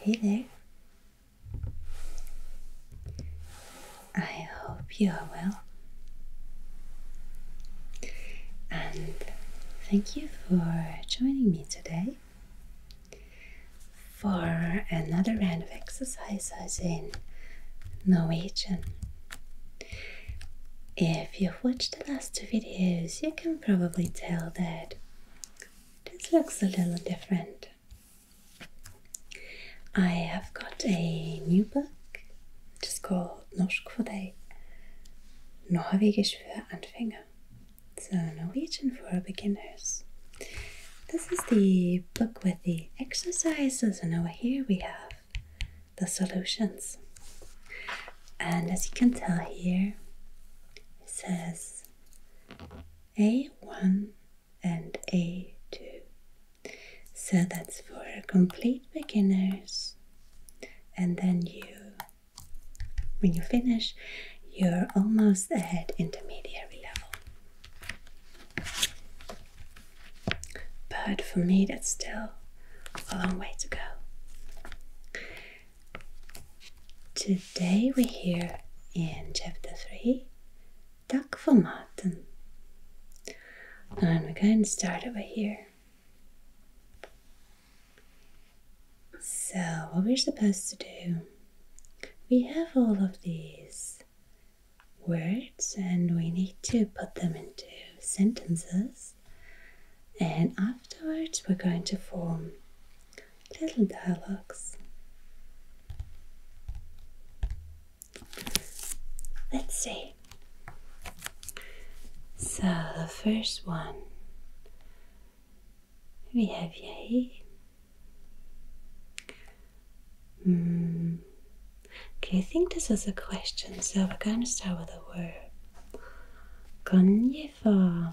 Hey there. I hope you are well. And thank you for joining me today for another round of exercises in Norwegian. If you've watched the last two videos, you can probably tell that this looks a little different. I have got a new book, which is called Norsk for deg, Norwegian for Beginners. so Norwegian for beginners. This is the book with the exercises, and over here we have the solutions. And as you can tell here, says a1 and a2 so that's for complete beginners and then you when you finish you're almost at intermediate level but for me that's still a long way to go Today we are here in chapter 3 Duck for Martin. And we're going to start over here. So, what we're supposed to do, we have all of these words and we need to put them into sentences and afterwards we're going to form little dialogues. Let's see. So the first one we have yay. Mm. Okay, I think this was a question, so we're going to start with a word. 건예화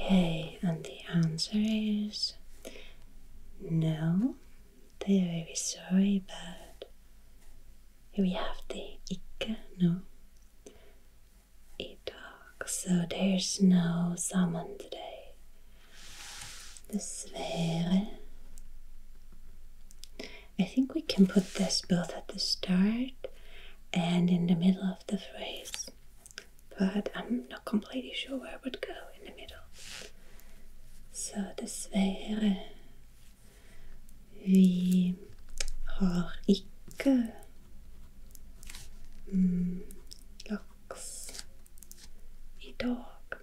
Okay, and the answer is no. They are very sorry, but we have the ikke, no. so there's no salmon today. This is very. I think we can put this both at the start and in the middle of the phrase, but I'm not completely sure where it would go in the middle. So das wäre wie har ikke mm, i dag.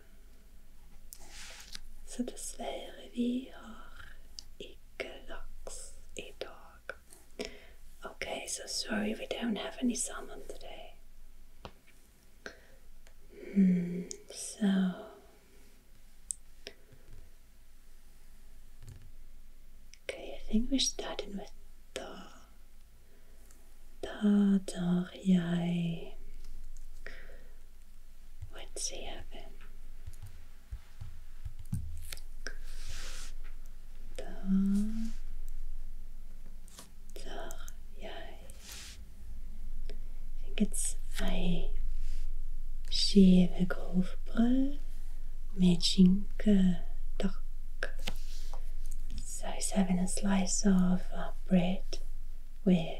Så dessverre, vi har ikke Goldilocks, a dog. Okay, so sorry we don't have any salmon today. Hmm, so okay, I think we're starting with da. Da, da, yay. What's he having? Da, da, yeah. I think it's a sheer groofbread with shinken duck. So it's having a slice of uh, bread with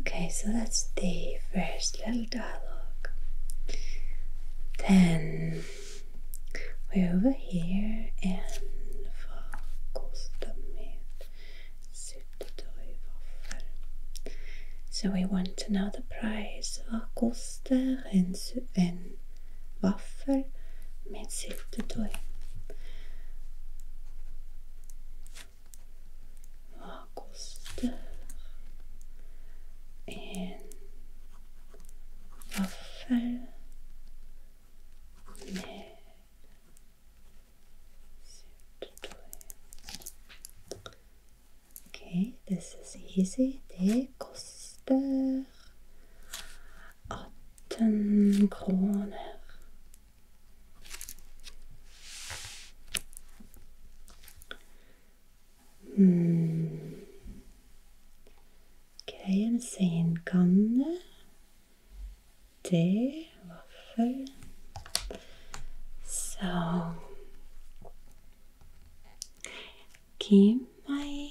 Okay, so that's the first little dialogue. Then we're over here and so we want to know the price. of a coaster kostar en Waffel mit syltetøy. Hva koster en vaffel med syltetøy? Ok, this is easy. Det koster 18 kroner. Hmm. Kremseinkanne, te, vaffel So, give my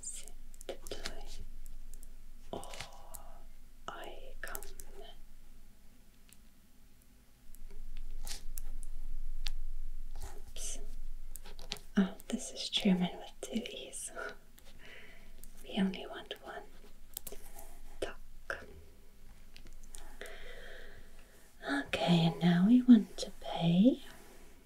Sit tight, or I come. Oops. Oh, this is German with two E's. we only want one. Okay, and now we want to pay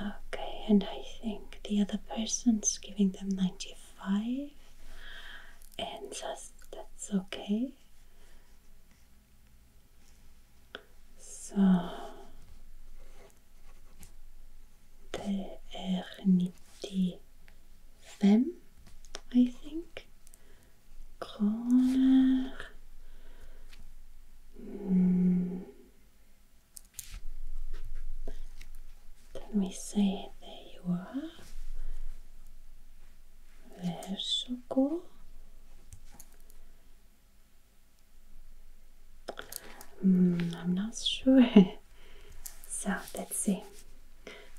Okay, and I think the other person's giving them 95, and that's, that's okay. So, Eternity Femme, I think. Kroner. Hmm. Let me see. there you are? Versuko. Mm, I'm not sure. so let's see.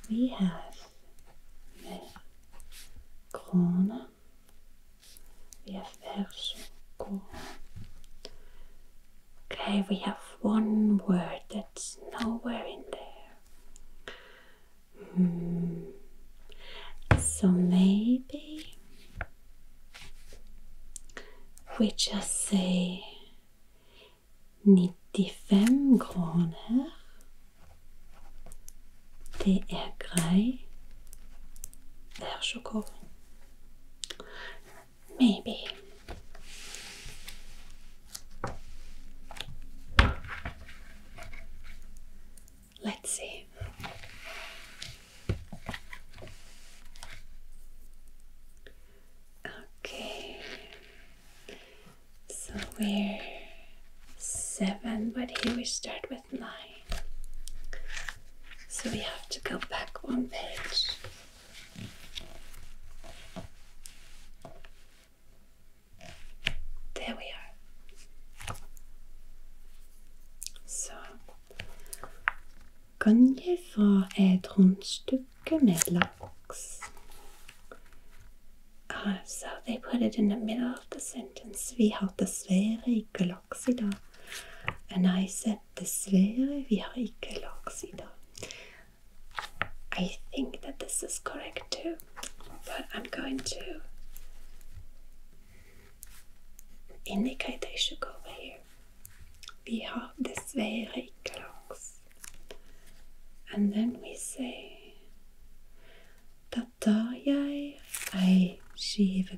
We have the krona. We have verso, go. Okay, we have one word that's nowhere in there. Hmm. So maybe we just say 95 kroner. Det er grei. Vær så Maybe. Let's see. Okay, so we're seven, but here we start with nine. So we have to go back one page. There we are. Så kan jeg få et rundstykke med laks? Uh, ah, so they put it in the middle of the sentence. Vi har dessverre ikke laks i dag. And I said, this wäre wie Oxido. I think that this is correct too, but I'm going to indicate I should go over here. We have this very clocks. And then we say Da tar jeg ei skive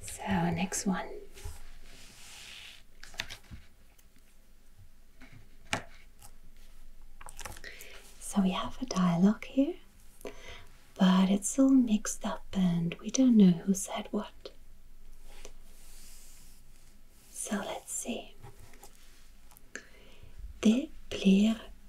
So, next one. So, we have a dialogue here, but it's all mixed up and we don't know who said what. So, let's see. Det blir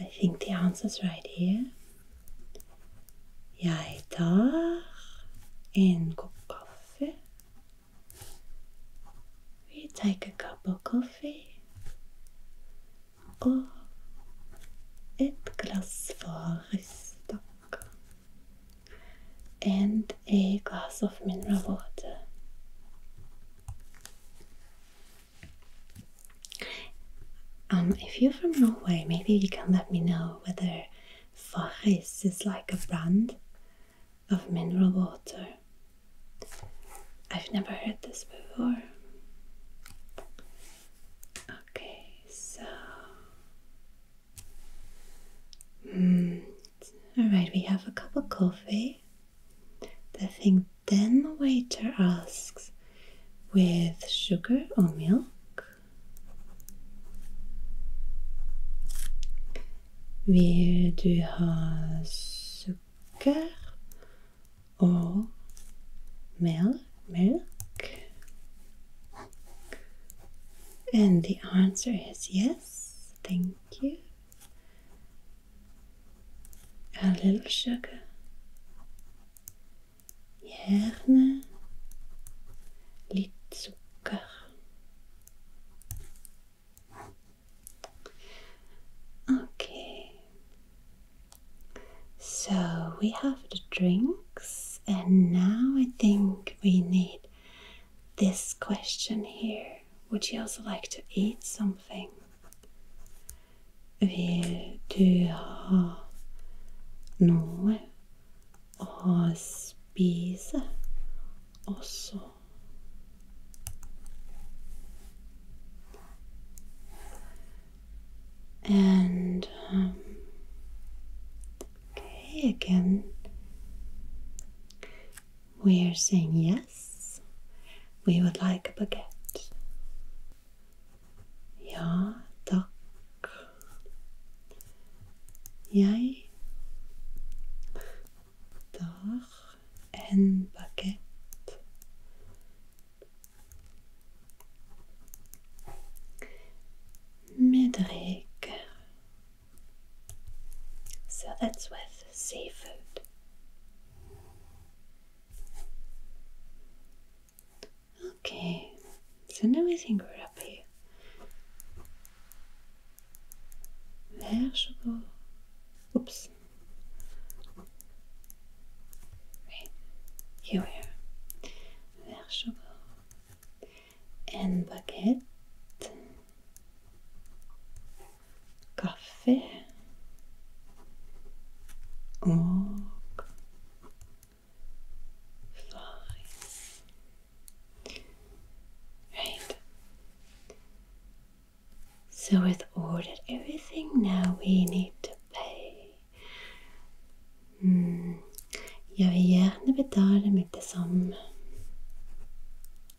I think the answer's right here. Jeg tar en kopp kaffe. We take a cup of coffee. Og et glass for And a glass of mineral water. Um, if you're from Norway, maybe you can let me know whether Faris is like a brand of mineral water. I've never heard this before. Okay, so. Mm. Alright, we have a cup of coffee the thing then the waiter asks with sugar or milk. Vill du ha sukker or milk? milk? And the answer is yes, thank you a little sugar, gerne litt sukker. Okay, so we have the drinks, and now I think we need this question here. Would you also like to eat something? Vil du ha noe å spise Also, And um, okay, again, we're saying yes, we would like a baguette. Ja takk. Jeg tar en baguette. Med So that's with seafood. Okay, so now we think we're up here. There Oops. Wait, here we are. There And baguette. Coffee. och färg. Right. So with ordered everything now we need to pay. Mm. Jag vill gärna betala med detsamma.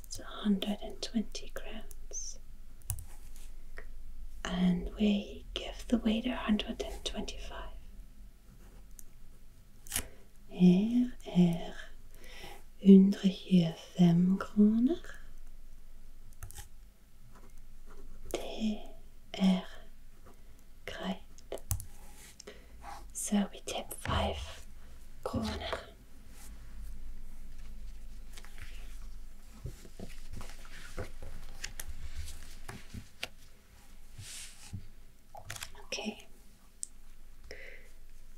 costs 120 grams and we give the waiter 125 Her er 125 kroner. Det er So we tip 5 kroner. Okay,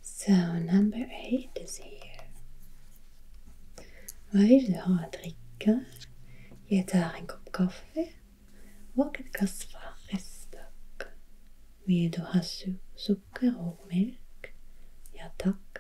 so number eight is here. you Vad vill du ha att a Jag tar en kopp kaffe och ett glas färgstek. Vill du ha su- socker och mjölk? Ja tack.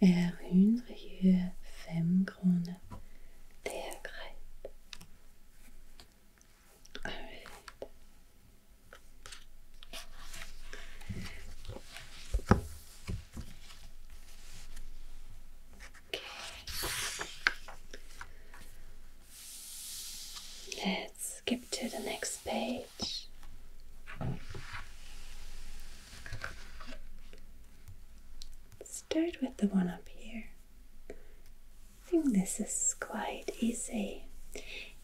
er hundrefem kroner. Det er greit. Okay. Let's skip to the next page. Start with the one up here. I think this is quite easy.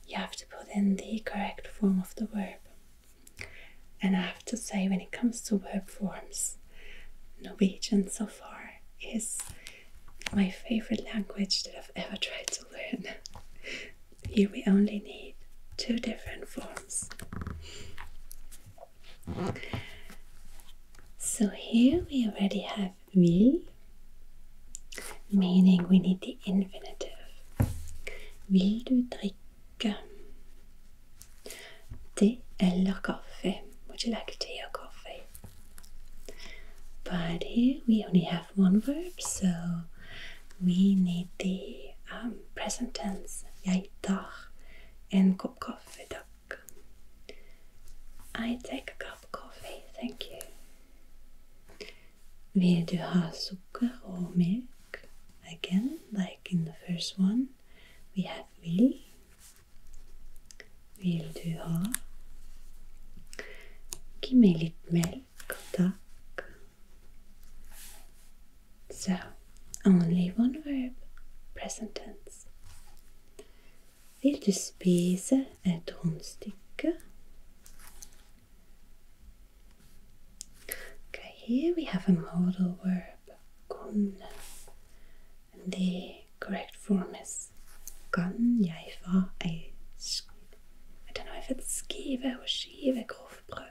You have to put in the correct form of the verb. And I have to say, when it comes to verb forms, Norwegian so far is my favorite language that I've ever tried to learn. Here we only need two different forms. So here we already have will, meaning we need the infinitive. Vil du drikke te eller kaffe? Would you like tea or coffee? But here we only have one verb, so we need the present tense Jeg tar en kopp kaffe, takk. I take a cup of coffee, thank you. Will du ha sugar or milk? Again, like in the first one, we have vil. Vil du ha? Gi meg litt melk, takk. So, only one verb, present tense. Vil du spise et rundstykke? Okay, here we have a modal verb, kunne. the correct form is kan jeg få I don't know if it's skive or skive grovbrød.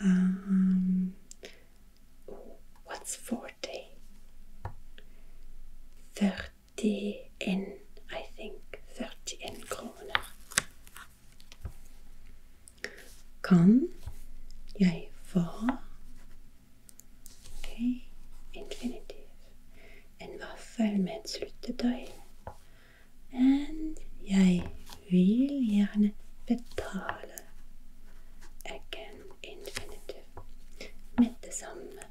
Um, what's 40? 30 in, I think. 30 in kroner. Kan jeg få okay. Infinitive. En vaffel med et syltetøy. And jeg We'll learn gjerne betale. Again, infinitive. The det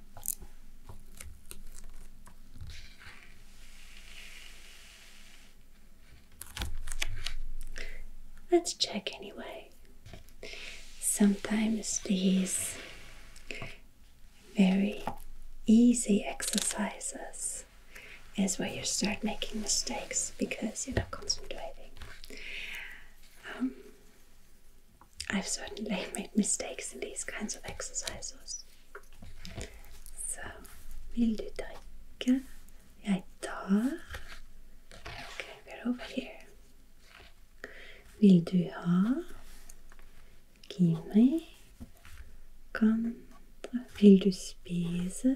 Let's check anyway. Sometimes these very easy exercises is where you start making mistakes because you're not concentrating. Um, I've certainly made mistakes in these kinds of exercises. So, vill du dricka? Jag tar. Okay, we're over here. Vill du ha? Give me. Kom. Vill du spise?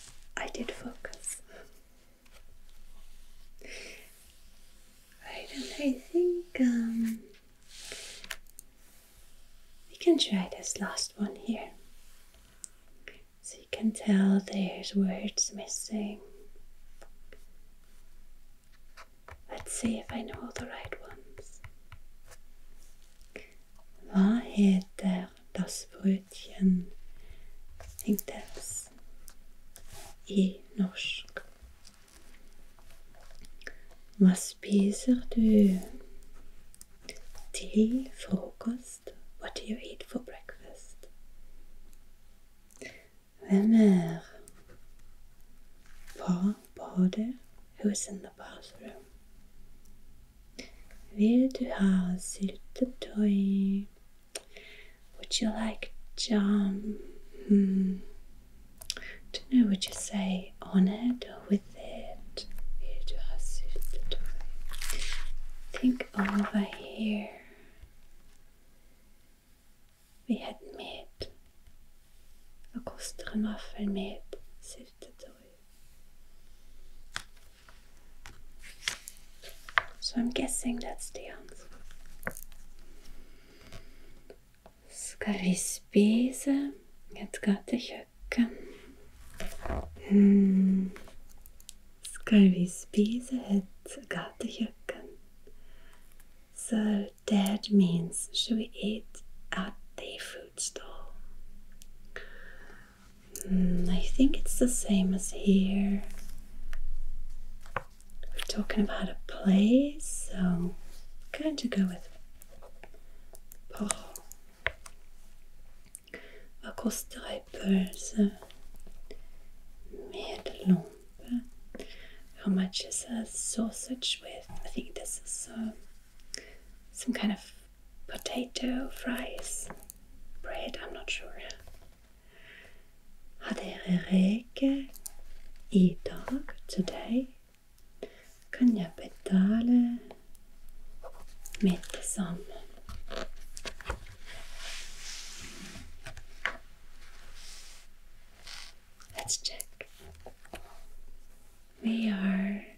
I did focus. Right, and I think um, we can try this last one here. So you can tell there's words missing. Let's see if I know all the right ones. Vad heter Das Brötchen, dassbrötchen hängdes i norsk. Hva spiser du til frokost? What do you eat for breakfast? Hvem er Hva bader? Who is in the bathroom? Vill du ha toy? Would you like jam? Hmm. Don't know what you say on it or with it. Vill du ha syltetøy? Think over here. We had meat. Vad kostar en waffel med syltetøy? So I'm guessing that's the answer. Ska vi spise? Jeg skal til kjøkken. Mm. Skal vi spise et So that means should we eat at the food stall? Mm, I think it's the same as here. We're talking about a place, so I'm going to go with Porro. Vad kostar ett pölse? Medelompe. How much is a sausage with? I think this is uh, some kind of potato fries, bread, I'm not sure. Hadde jeg i today, kan jeg betale mitt som Let's check. We are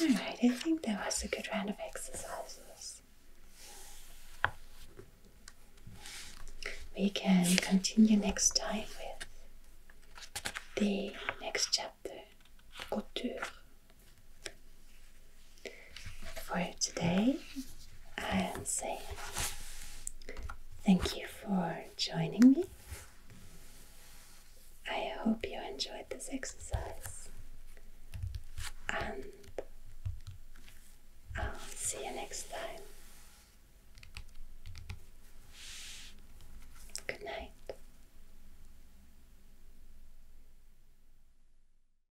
Alright, I think that was a good round of exercises. We can continue next time with the next chapter, couture for today. I'll say thank you for joining me. I hope you enjoyed this exercise, and I'll see you next time. Good night.